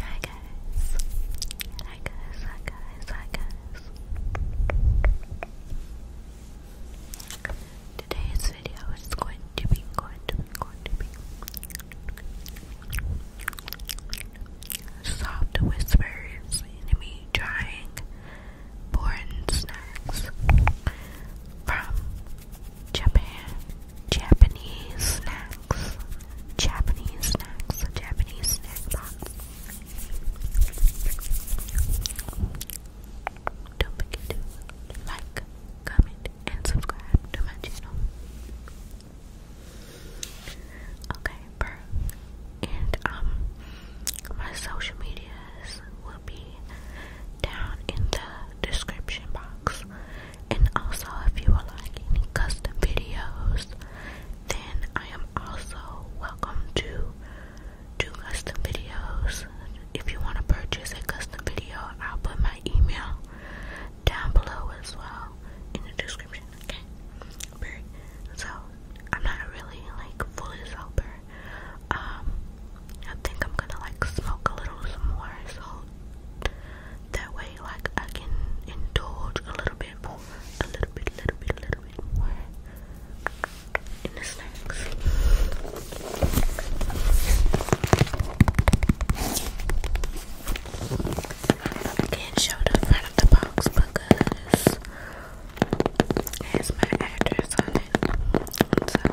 Hi guys. Hi guys, hi guys, hi guys. Today's video is going to be going to be going to be soft whispers and me trying born snacks from Japan, Japanese snacks, Japanese snacks, Japanese snacks. Don't forget to like, comment, and subscribe to my channel. Okay, bro. And um, my social medias will be down in the description box. And also, if you would like any custom videos, then I am also welcome to do custom videos. If you want to purchase a custom video, I'll put my email down below as well in the description. Okay, so I'm not really like fully sober. Um, I think I'm gonna like smoke a little more so that way like I can indulge a little bit more a little bit little bit little bit more in the snacks I can't show the front of the box because it has my address on it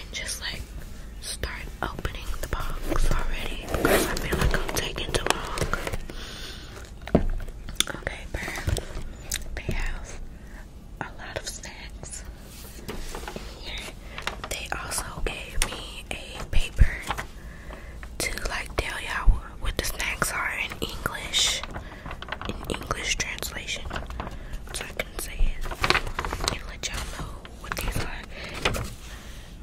just like start opening the box already because I feel like I'm taking too long. Okay, Bird. They have a lot of snacks They also gave me a paper to like tell y'all what the snacks are in English, in English translation let y'all know what these are.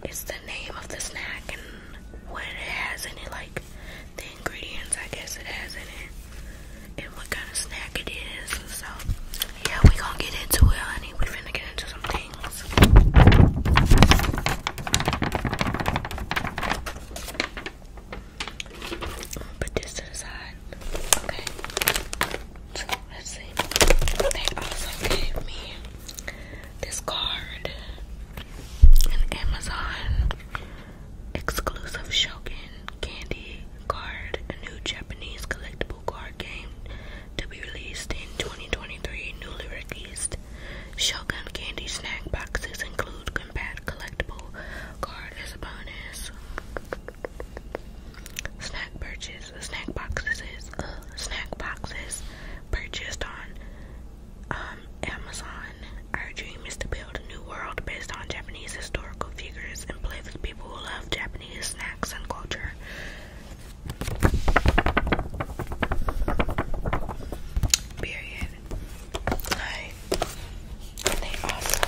It's the name of the snack and what it has in it, like the ingredients I guess it has in it, and what kind of snack it is. So yeah, we gonna get into it, honey. We finna get into some things. Put this to the side. Okay. let's see. They also gave me this card. An Amazon exclusive Shogun candy card. A new Japanese collectible card game to be released in 2023. Newly released Shogun candy snack boxes include compact collectible card as a bonus. Snack purchase, uh, snack boxes, uh, snack boxes purchased on um, Amazon. Our dream is to build a new world based on Japanese historical figures and play with people who love Japanese snacks and culture. Period. Like, and They also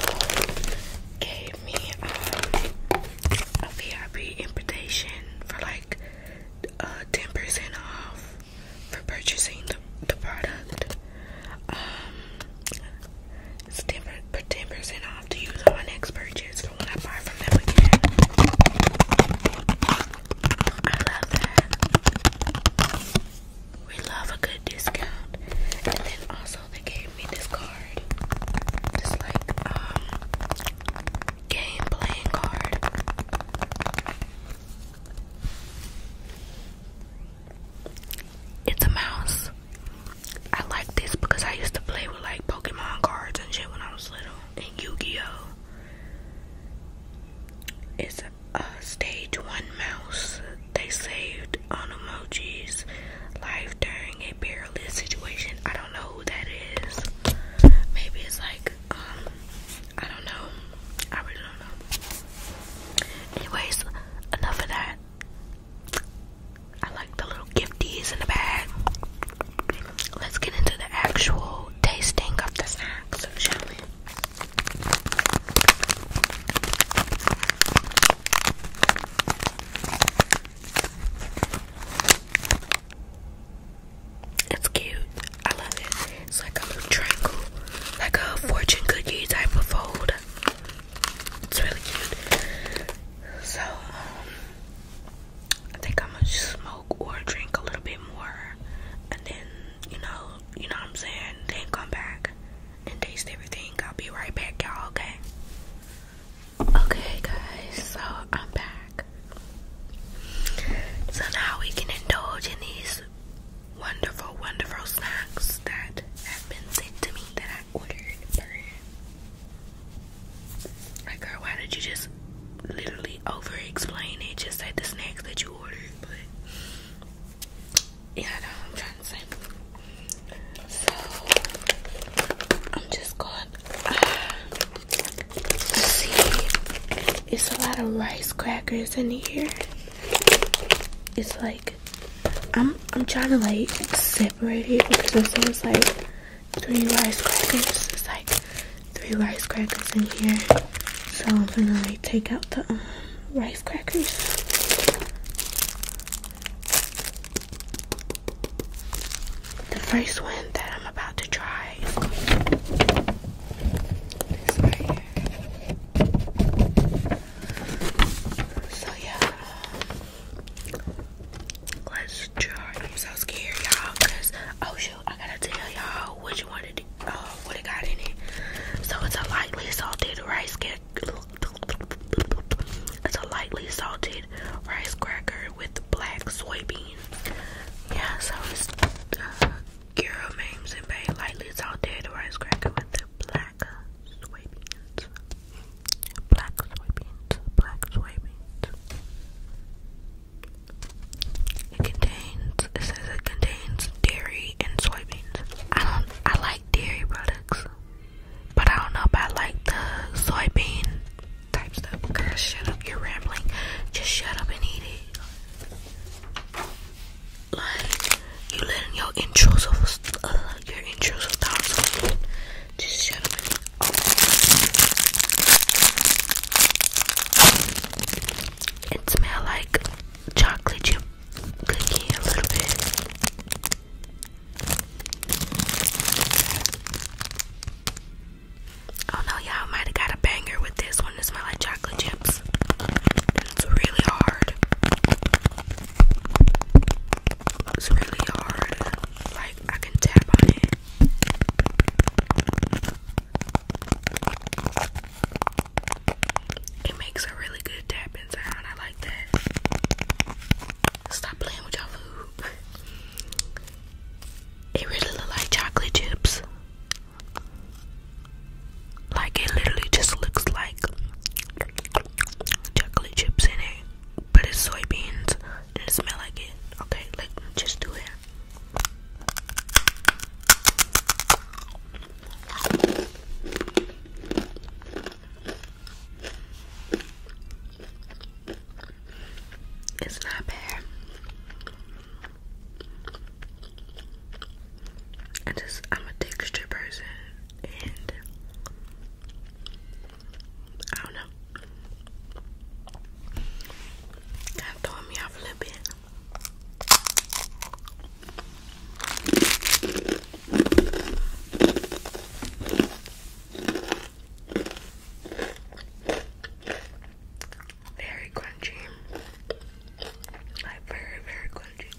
gave me um, a VIP invitation for like 10% uh, off for purchasing the, the product. Um, it's 10% off to use on my next purchase for when I buy from them again. I love that. We love a good discount. And then also, they gave me this card. This like um, game playing card. It's a mouse. I like this because I used to play with like Pokemon cards and shit when I was little and Yu-Gi-Oh! It's a stage one mouse they saved on Emoji's life during a perilous situation. I don't know who that is. Maybe it's like, um, I don't know. I really don't know. Anyways, enough of that. I like the little gifties in the bag. Let's get into the actual tasting of the snacks, it's cute. I love it. It's like a little triangle, like a fortune cookie type of fold. It's really cute. So, um, I think I'm gonna smoke or drink a little bit more, and then you know, you know what I'm saying. Then come back and taste everything. I'll be right back, y'all, okay? Okay, guys, so I'm back. So now we can indulge in these wonderful, wonderful snacks that have been sent to me that I ordered. Like, girl, why did you just literally over explain it? Just say the snacks that you ordered, yeah, I know I'm trying to say. So I'm just going. Uh, see, it's a lot of rice crackers in here. It's like I'm I'm trying to like separate it because there's like three rice crackers. It's like three rice crackers in here. So I'm gonna like take out the um, rice crackers. The first one that I'm about to try is right here. So yeah, let's try. I'm so scared, y'all, cause oh shoot, I gotta tell y'all which one it, uh, what it got in it. So it's a lightly salted rice cake, it's a lightly salted rice cracker with black soybean. Yeah, so uh, Girl Mames and Bay lightly salted rice cracker with the black soybeans. Black soybeans. Black soybeans. It contains. It says it contains dairy and soybeans. I don't. I like dairy products, but I don't know about like the soybean type stuff. Girl, shut up, you're rambling. Just shut up and eat it. Like, you letting your intrusive, uh, your intrusive thoughts Just shut up oh it. smells like chocolate chip Oh no, y'all might have got a banger with this one. It smells like chocolate chips. It's really hard. It's really hard. Like I can tap on it. It makes a really good tapping sound. I like that. Stop playing with y'all food. It really look like chocolate chips. Like it literally just looks like chocolate chips in it, but it's soybeans and it smell like it. Okay, like just do it. It's not bad. I just I'm a texture person and I don't know. Kind of throwing me off a little bit. Very crunchy. Like very, very crunchy.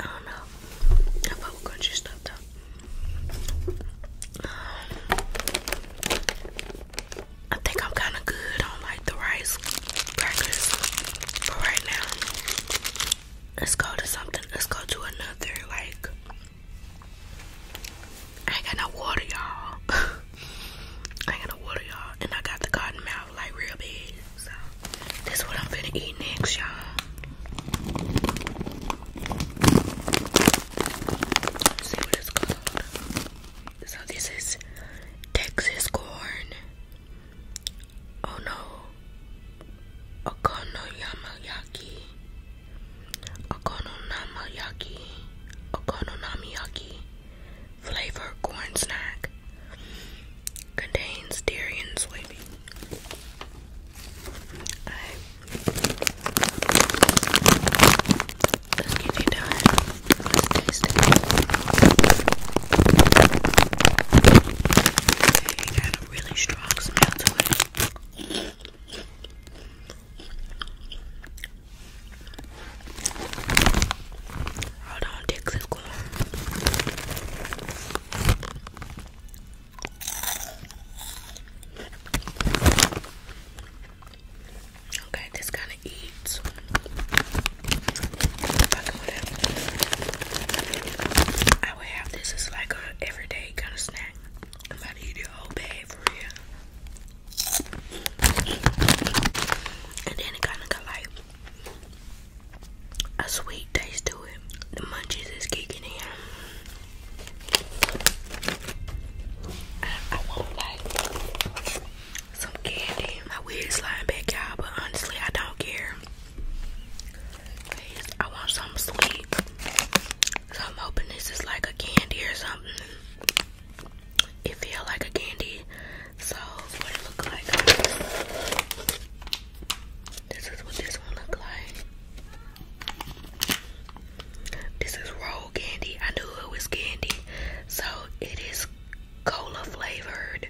I don't know crunchy stuff though. Um, I think I'm kind of good on the rice crackers for right now. Let's go to something. Let's go to another. Like, I ain't got no water, y'all. I ain't got no water, y'all. And I got the cotton mouth, like, real big. So, this what I'm going eat next, y'all. see what it's called. So, this is Texas corn Ono oh, Okonoyamayaki Okononamayaki Okonomiyaki flavor corn snack contains dairy and soybean. Alright. Let's it done. It got a really strong smell to it. Hold on, Dix is going. Okay, this kind of easy. I would have this as like a everyday kind of snack. I'm about to eat your whole bag for real. And then it kind of got like a sweet taste to it. The munchies is kicking in. I, I will some candy. My wig sliding back, y'all, but honestly, I don't care. I want something sweet. So I'm hoping this is like a candy or something. It feel like a candy. So what it look like. This is what this one look like. This is roll candy. I knew it was candy. So it is cola flavored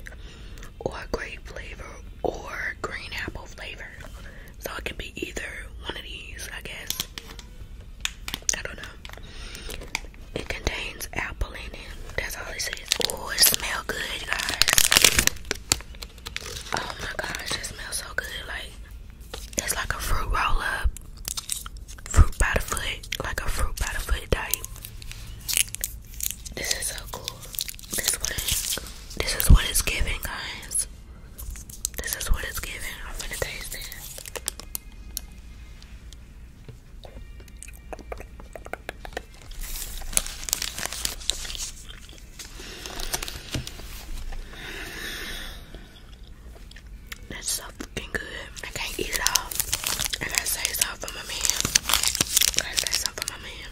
or grape flavor or green apple flavor. So it could be either one of these, I guess. I don't know. It contains apple in it. That's all it says. Oh, it smells good, guys. Oh my gosh, it smells so good. Like it's like a fruit roll up. Fruit by Like a fruit by type. This is so cool. This is what it, this is what it's giving, guys. This is what it's giving. I'm gonna taste it. That's so fucking good. I can't eat it all. I gotta save some for my man. gotta save some for my man.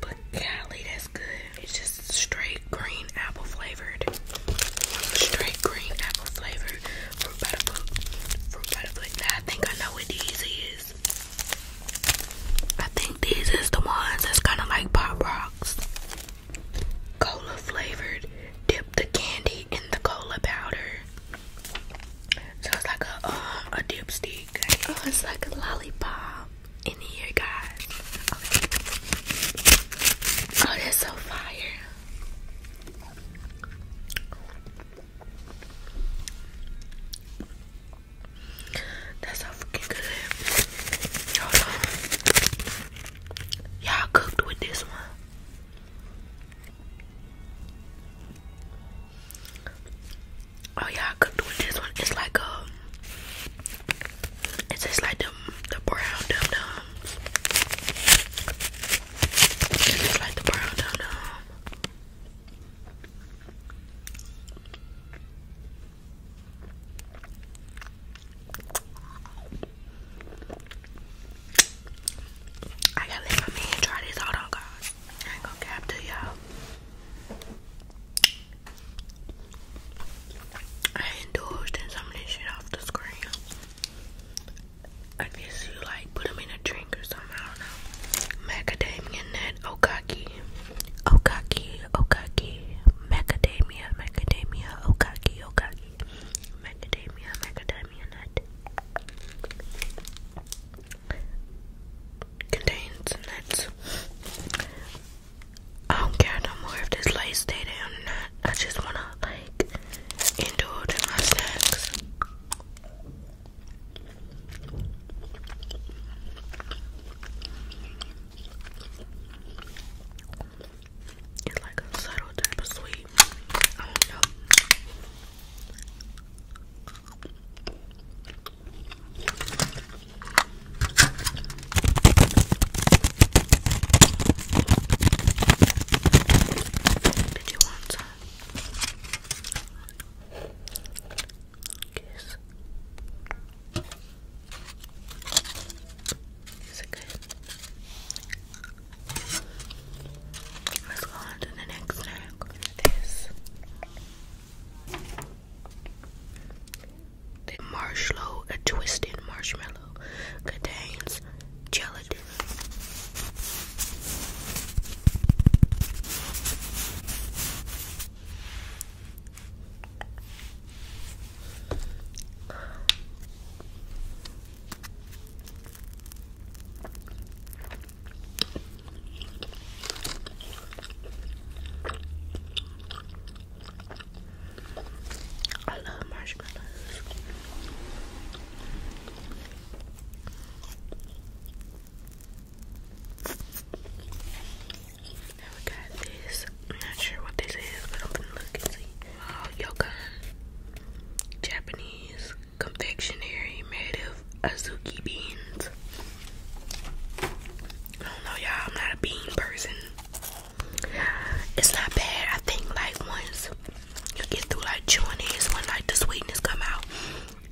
But golly, that's good. It's just straight green apple flavored. Straight green apple flavored from butterfly. Fruit butterfly. I think I know what these is. I think these is the ones that's kind of like Pop Rocks. Cola flavored. Dip the candy in the cola powder. So it's like a uh, a dipstick. Oh, it's like a lollipop in here, guys. Oh, that's so fire. That's so freaking good. Y'all cooked with this one. Oh yeah, I cooked with this one. It's like a. Um, it's just like them the brown dum dums. It's like the brown dum dum. I gotta leave my man try this. Hold on, guys. I ain't gonna cap to y'all. I indulged in some of this shit off the screen. I guess you like put them in a drink or something. I don't know. Macadamia nut okaki, okaki, okaki. Macadamia, macadamia, okaki, okaki. Macadamia, macadamia contains nuts. I don't care no more if this light stayed or not. I just wanna like indulge in my snacks. It's like a subtle type of sweet. Did you want some? Yes. Is it good? Let's go on to the next snack. This. marshmallow, a twisted marshmallow, contains gelatin. I love marshmallows. Now we got this. not sure what this is, but I'm gonna look and see. Wow, Japanese confectionery made of azuki beans. I don't know, y'all. I'm not a bean person. It's not bad. I think like once you get through like chewing it, when like the sweetness come out,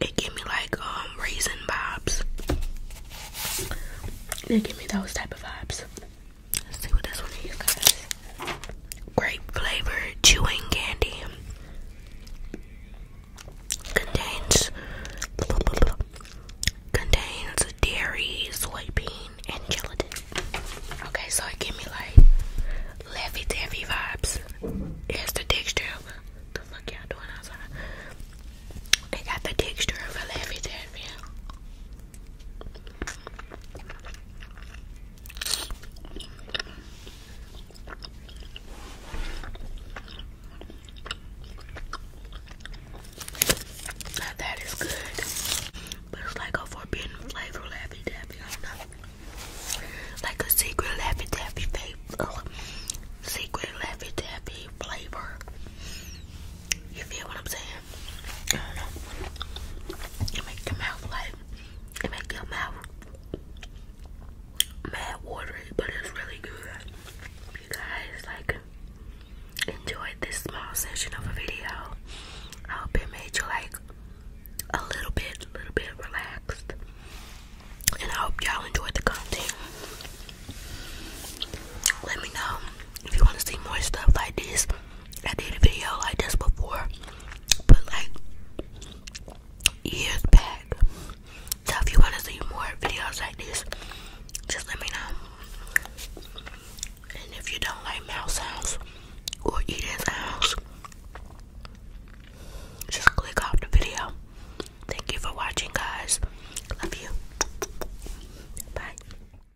it give me like um raisin vibes. It give me those type of vibes. Let's see what this one is, guys. Grape flavored chewing candy contains blah, blah, blah, contains dairy, soybean, and gelatin. Okay, so it give me like Laffy Taffy vibes. It's the texture of a, the fuck y'all doing outside. It got the texture of a Laffy Taffy. Now that is good, but it's like a forbidden flavor, Laffy Taffy. Like a secret Laffy Taffy flavor, secret Laffy Taffy flavor. You feel what I'm saying? I It make your mouth like it make your mouth mad watery, but it's really good. you guys like enjoyed this small session of a video, I hope it made you like a little bit, a little bit relaxed. And I hope y'all enjoyed the content. Let me know if you want to see more stuff like this, I did a video like this before, but like years back. So if you want to see more videos like this, just let me know. And if you don't like mouse sounds or eating sounds, just click off the video. Thank you for watching, guys. Love you. Bye.